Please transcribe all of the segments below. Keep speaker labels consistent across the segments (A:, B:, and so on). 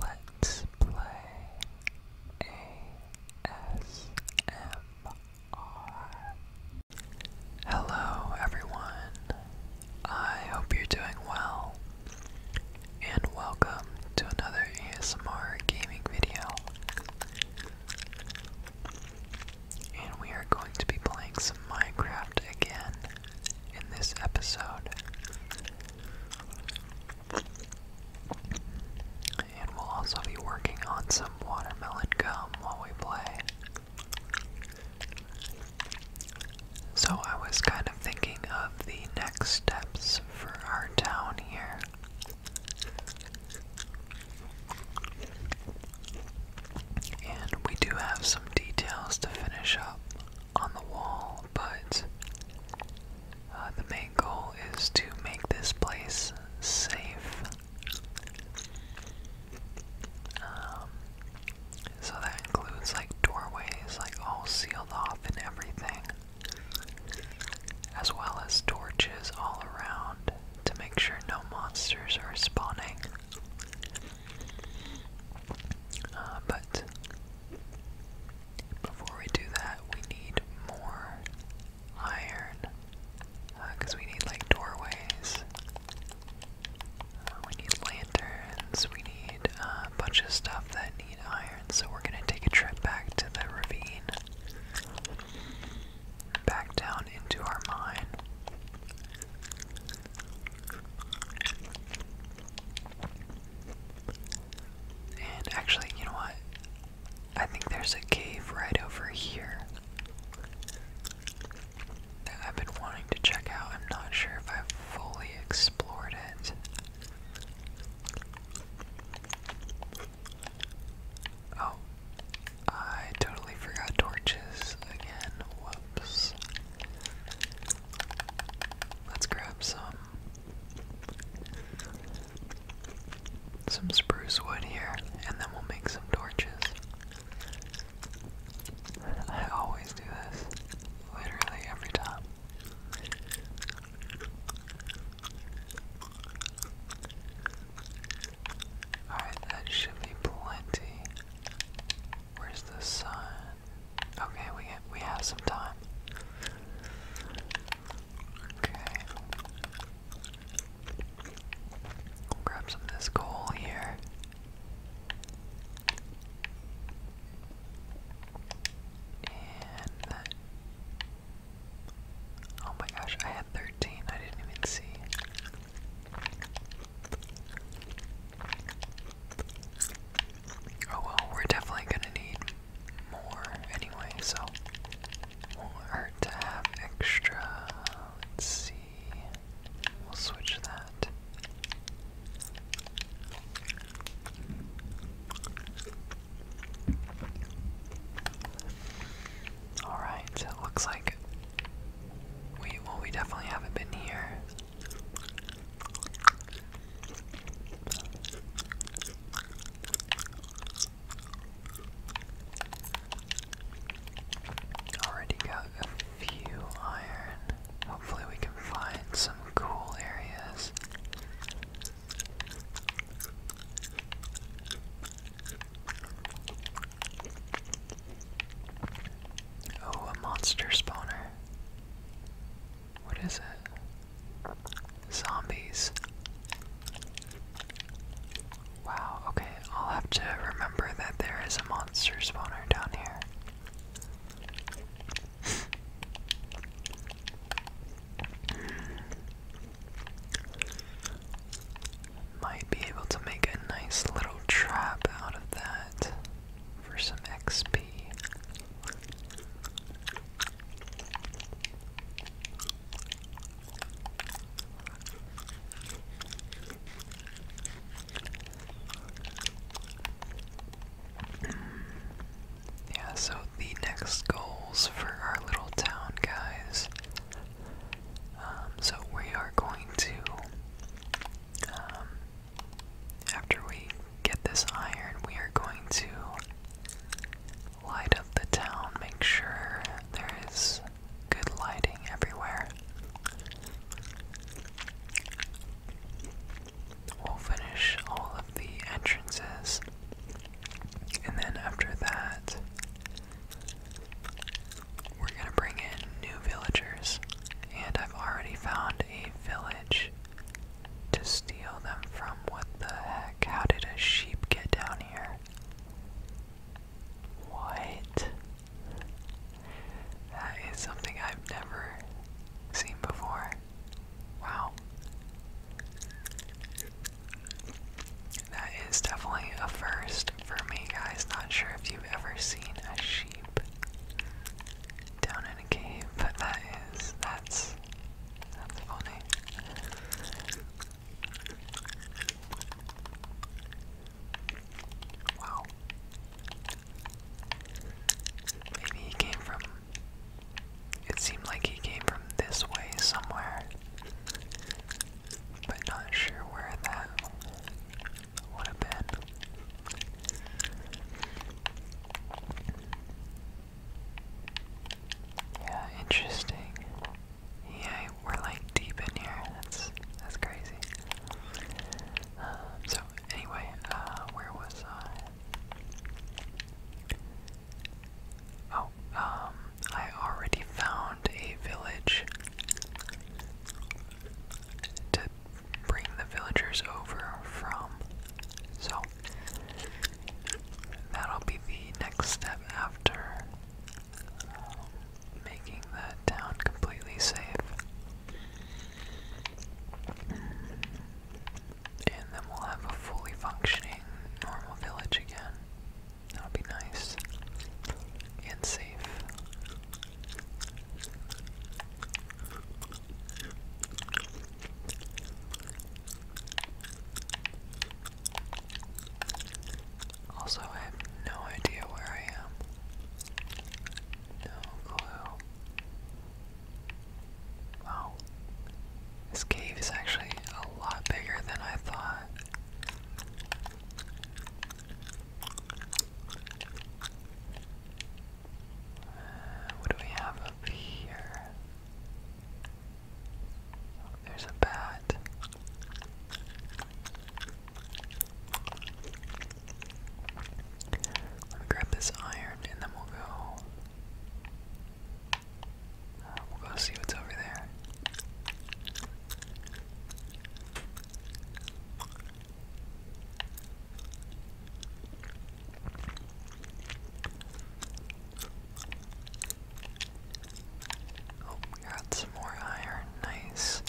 A: Let's play ASMR. Hello, everyone. I hope you're doing well. And welcome to another ASMR gaming video. And we are going to be playing some Minecraft again in this episode. And we'll also be working on some watermelon gum while we play. So I was kind of thinking of the next steps for our town here. And we do have some details to finish up on the wall, but uh, the main goal is to make this place safe. Um, so that includes like doorways, like all sealed off and everything, as well as torches all around to make sure no monsters are spawning. Uh, but before we do that, we need more iron because uh, we need like doorways. Uh, we need lanterns. We need a bunch of stuff that need iron. So we're gonna take a trip back to the ravine, back down into our mine. And actually, you know what? I think there's a cave right over here that I've been wanting to check out. I'm not sure if I've fully explored it. Oh, I totally forgot torches again. Whoops. Let's grab some some spruce wood here, and then we'll make some torches. I always do this, literally every time. Alright, that should be plenty. Where's the sun? Okay, we we have some time. Okay. grab some of this coal here. And Oh my gosh, I had 13. I didn't even see. Oh well, we're definitely gonna need more anyway, so will to have extra. Let's see. We'll switch that. Alright, so it looks like we well we definitely haven't been here. Already got a few iron. Hopefully, we can find some cool areas. Oh, a monster spawner. What is it? Zombies. Wow, okay, I'll have to remember that there is a monster spawner down here. Might be able to make a nice little trap out of that for some XP. Hmm. yeah, so the next goals for our little town, guys, um, so we are going to, um, after we get this iron, we are going to light up the town, make sure there is good lighting everywhere. We'll finish all of the entrances, and then after that, we're gonna bring in new villagers, and I've already found a village to steal them from. What the heck? How did a sheep get down here? What? That is something I've never seen before. Wow that is definitely a first for me, guys. Not sure if you've ever seen a sheep down in a cave, but that is that's that's funny. Wow. Maybe he came from. It seemed like he came from this way somewhere. But not sure where that yeah, interesting. Yeah, we're like deep in here. That's that's crazy. Um, so anyway, uh, where was I? Oh, um, I already found a village to bring the villagers over from. So that'll be the next step after um, making the town completely safe. And then we'll have a fully functioning normal village again. That would be nice and safe. Also, I have no idea where I am. No clue. Wow. This cave is actually a lot bigger than I thought. Uh, what do we have up here? Oh, there's a bat. Let me grab this iron and then we'll go. Uh, we'll go see what's over there. Oh, we got some more iron. Nice.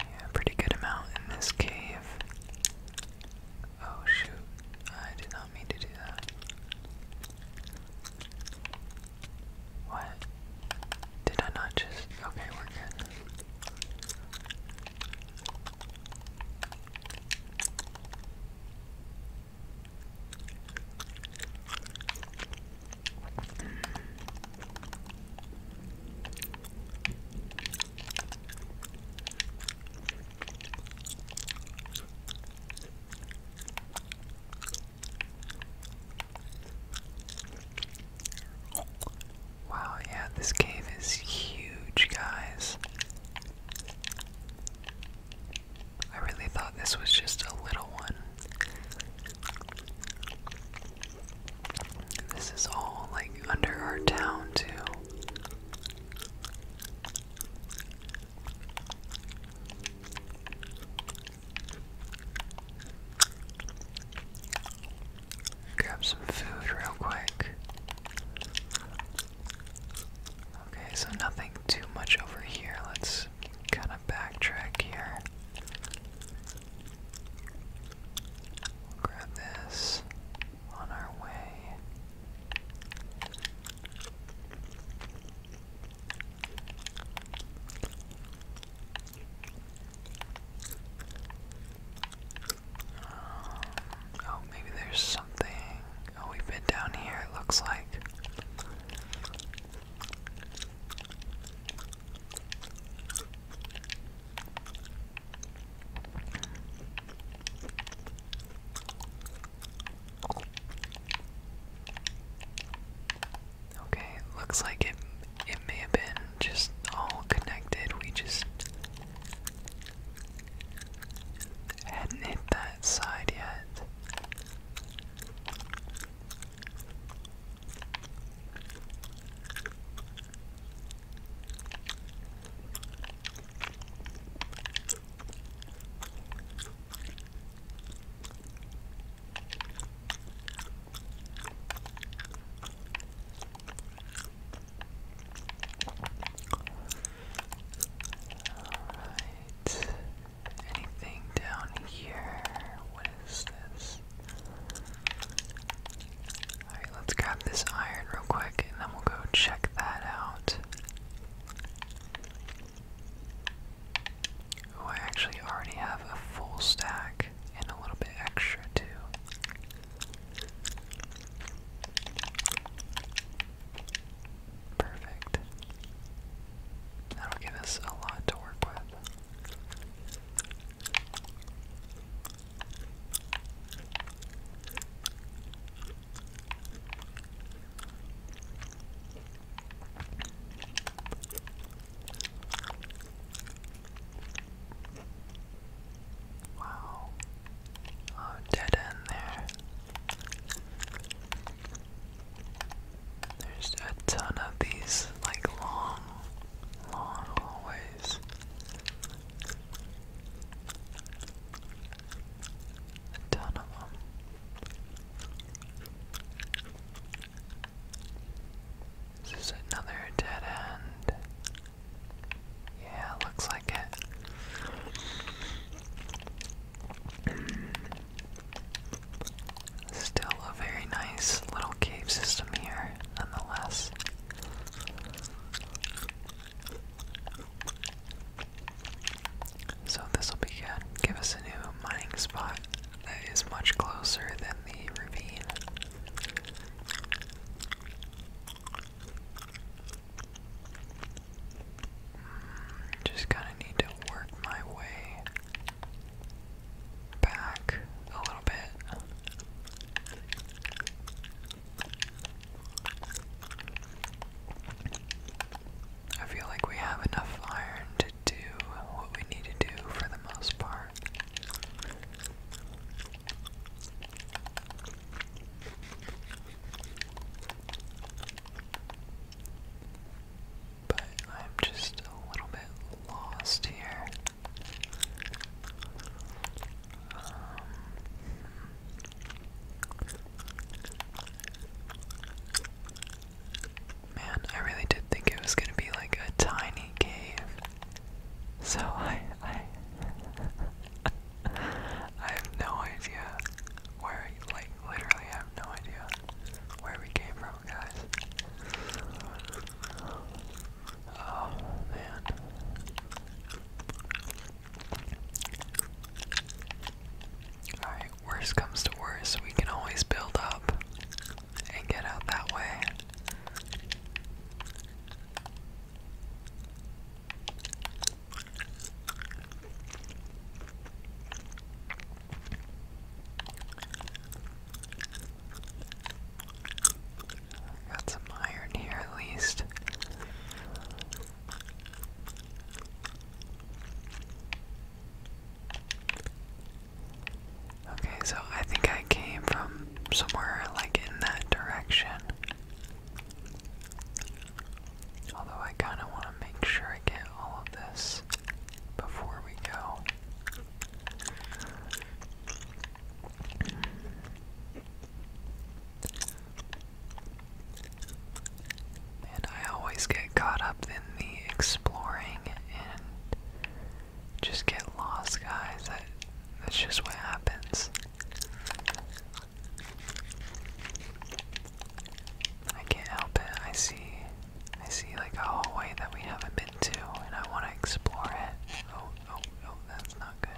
A: Yeah, pretty good amount in this cave. Oh shoot, I did not mean to do that. What? Did I not just. Okay, we're good. Wow, yeah, this cave is huge, guys. I really thought this was just a little one. This is all like under our town, too. Grab some food real quick. Okay, so nothing too much over here. Let's kind of backtrack here. grab this on our way. Um, oh, maybe there's something. Oh, we've been down here, it looks like. Okay, looks like it it may have been just all connected. We just hadn't hit that side yet. Alright. Anything down here? What is this? Alright, let's grab this iron real quick and then we'll go check that out. Oh, I actually already have a full stack and a little bit extra too. Perfect. That'll give us a lot to work with. Wow. Oh, dead end there. There's a ton of these like long, long hallways eyes. ton of them. Is another dead end? Yeah, looks like it. Still a very nice little cave system here, nonetheless. So this will be good. Give us a new mining spot that is much closer than the ravine. Hmm, just kind of need to work my way back a little bit. I feel like we have enough iron to do what we need to do for the most part. But I'm just a little bit lost here. Um, man, I really did think it was gonna be like a tiny cave. So I, I, I have no idea where, like, literally, I have no idea where we came from guys. Oh, man. Alright, worst comes to worst, we can always build up and get out that way. Got some iron here at least. Okay, so I think I came from somewhere like in that direction. Although I kind of want to make sure I get all of this before we go. And I always get caught up in the exploring and just get lost, guys. that's just what happens. I can't help it. I see I see like a hallway that we haven't been into and I want to explore it. Oh, oh, oh, that's not good.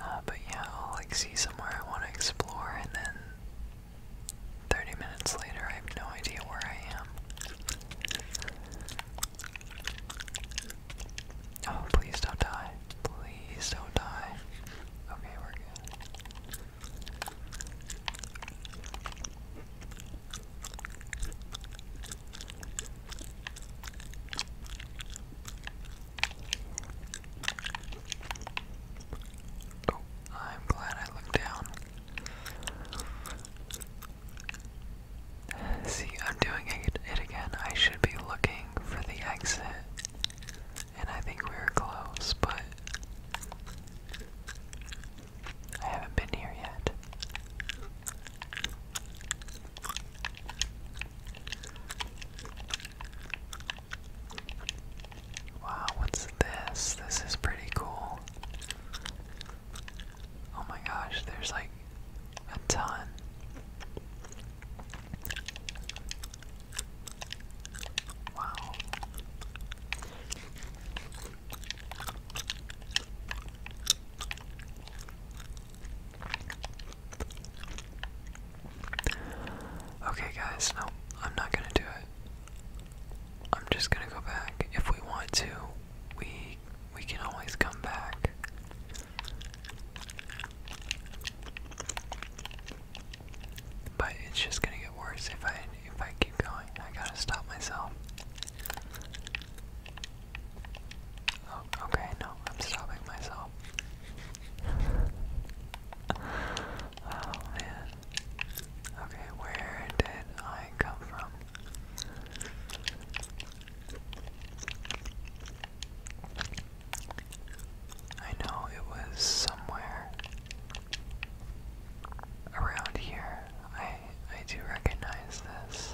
A: Uh, but yeah, I'll like see somewhere I want to explore and then 30 minutes later I have no idea where I am. Oh, please don't die. Please don't die. Okay, we're good. Oh, I'm glad I looked down. See, I'm doing it, again. I should be looking for the exit. And I think we were close, but I haven't been here yet. Wow, what's this? This is pretty cool. Oh my gosh, there's like a ton. Wow. Okay, guys, no, I'm not gonna do it. I'm just gonna go back. If we want to, we we can always come back. But it's just gonna get worse if I if I keep going. I gotta stop myself. Oh, okay, no, I'm stopping myself. oh Okay, where did I come from? I know it was somewhere around here. I I do recognize this.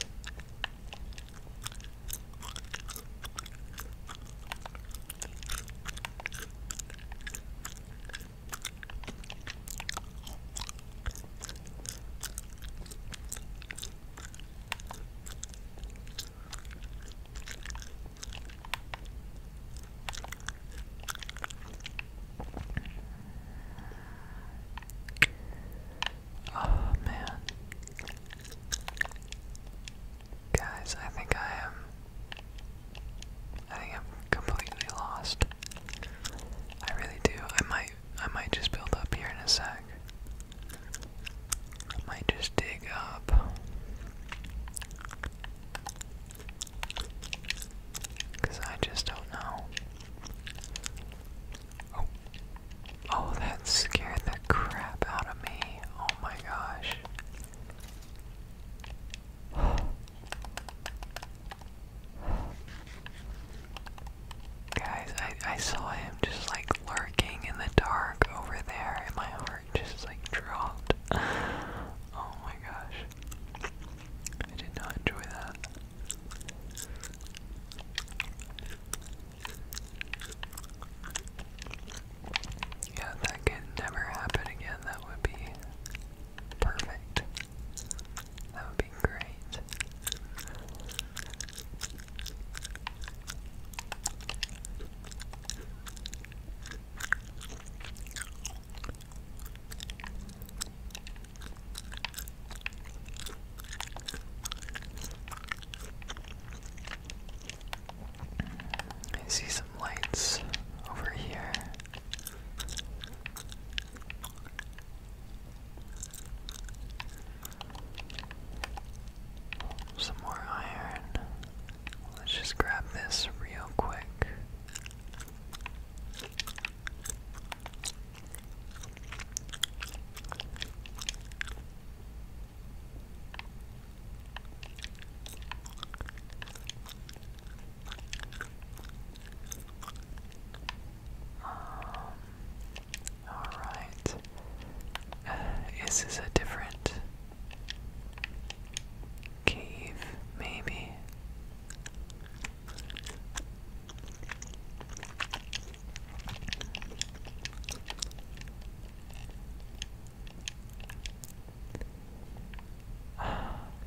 A: Oh man. Guys, I think I am I think I'm completely lost. I really do. I might I might just build up here in a sec. I might just dig up. Because I just don't know. Oh. Oh, that scared the crap out of me. Oh my gosh. Guys, I, I saw him just like lurking in the dark over there, and my heart just like dropped. Oh my gosh. I did not enjoy that. Yeah, that could never happen again, that would be Perfect. That would be great. I see some lights over here. Some more iron. Let's just grab this real quick. Um, Alright. Uh, is a different cave, maybe?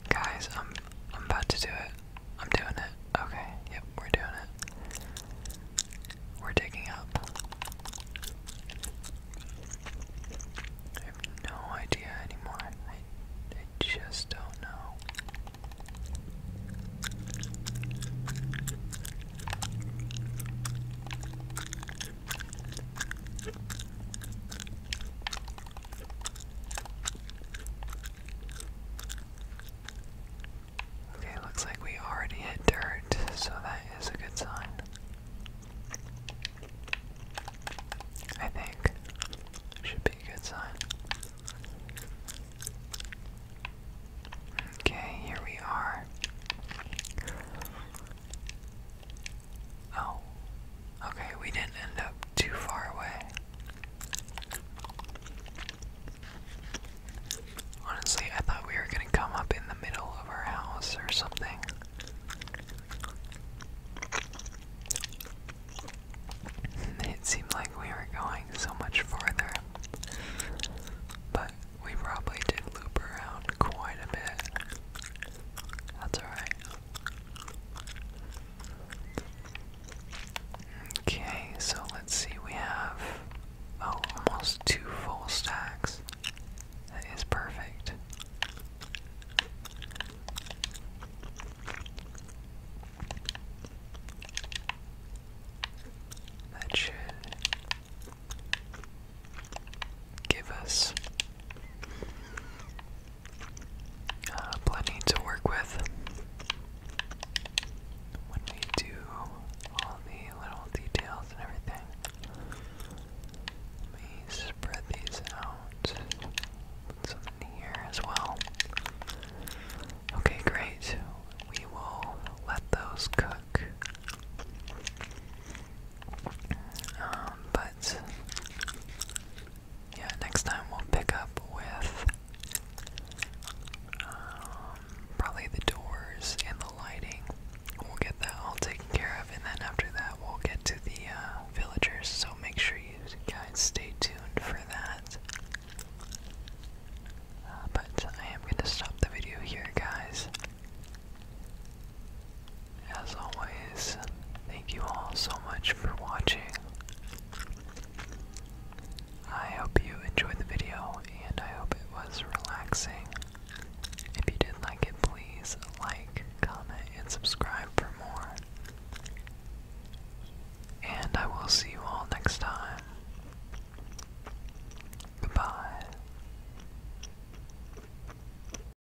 A: Guys, I'm I'm about to do it. I'm doing it. Okay, yep, we're doing it. We're digging up. I have no idea anymore. I, just don't know. Okay, looks like we already hit dirt, so that is a good sign. I think. Should be a good sign. Okay, here we are. Oh, Okay, we didn't end up too far away. Honestly, I thought we were gonna come up in the middle of our house or something. It seemed like we were going so much farther, but we probably did loop around quite a bit. That's alright. Okay, so let's see, we have oh, almost two full stacks. That is perfect. That should give us uh, plenty to work with when we do all the little details and everything. Let me spread these out. Put here as well. Okay, great. We will let those cook. Um, but yeah, next time we'll pick up with um, probably the doors and the lighting. We'll get that all taken care of, and then after that, we'll get to the uh, villagers. So make sure you guys stay tuned for that. Uh, but I am going to stop the video here, guys. As always, thank you all so much for watching. I hope you enjoyed the video and I hope it was relaxing. If you did like it, please like, comment, and subscribe for more. And I will see you all next time. Goodbye.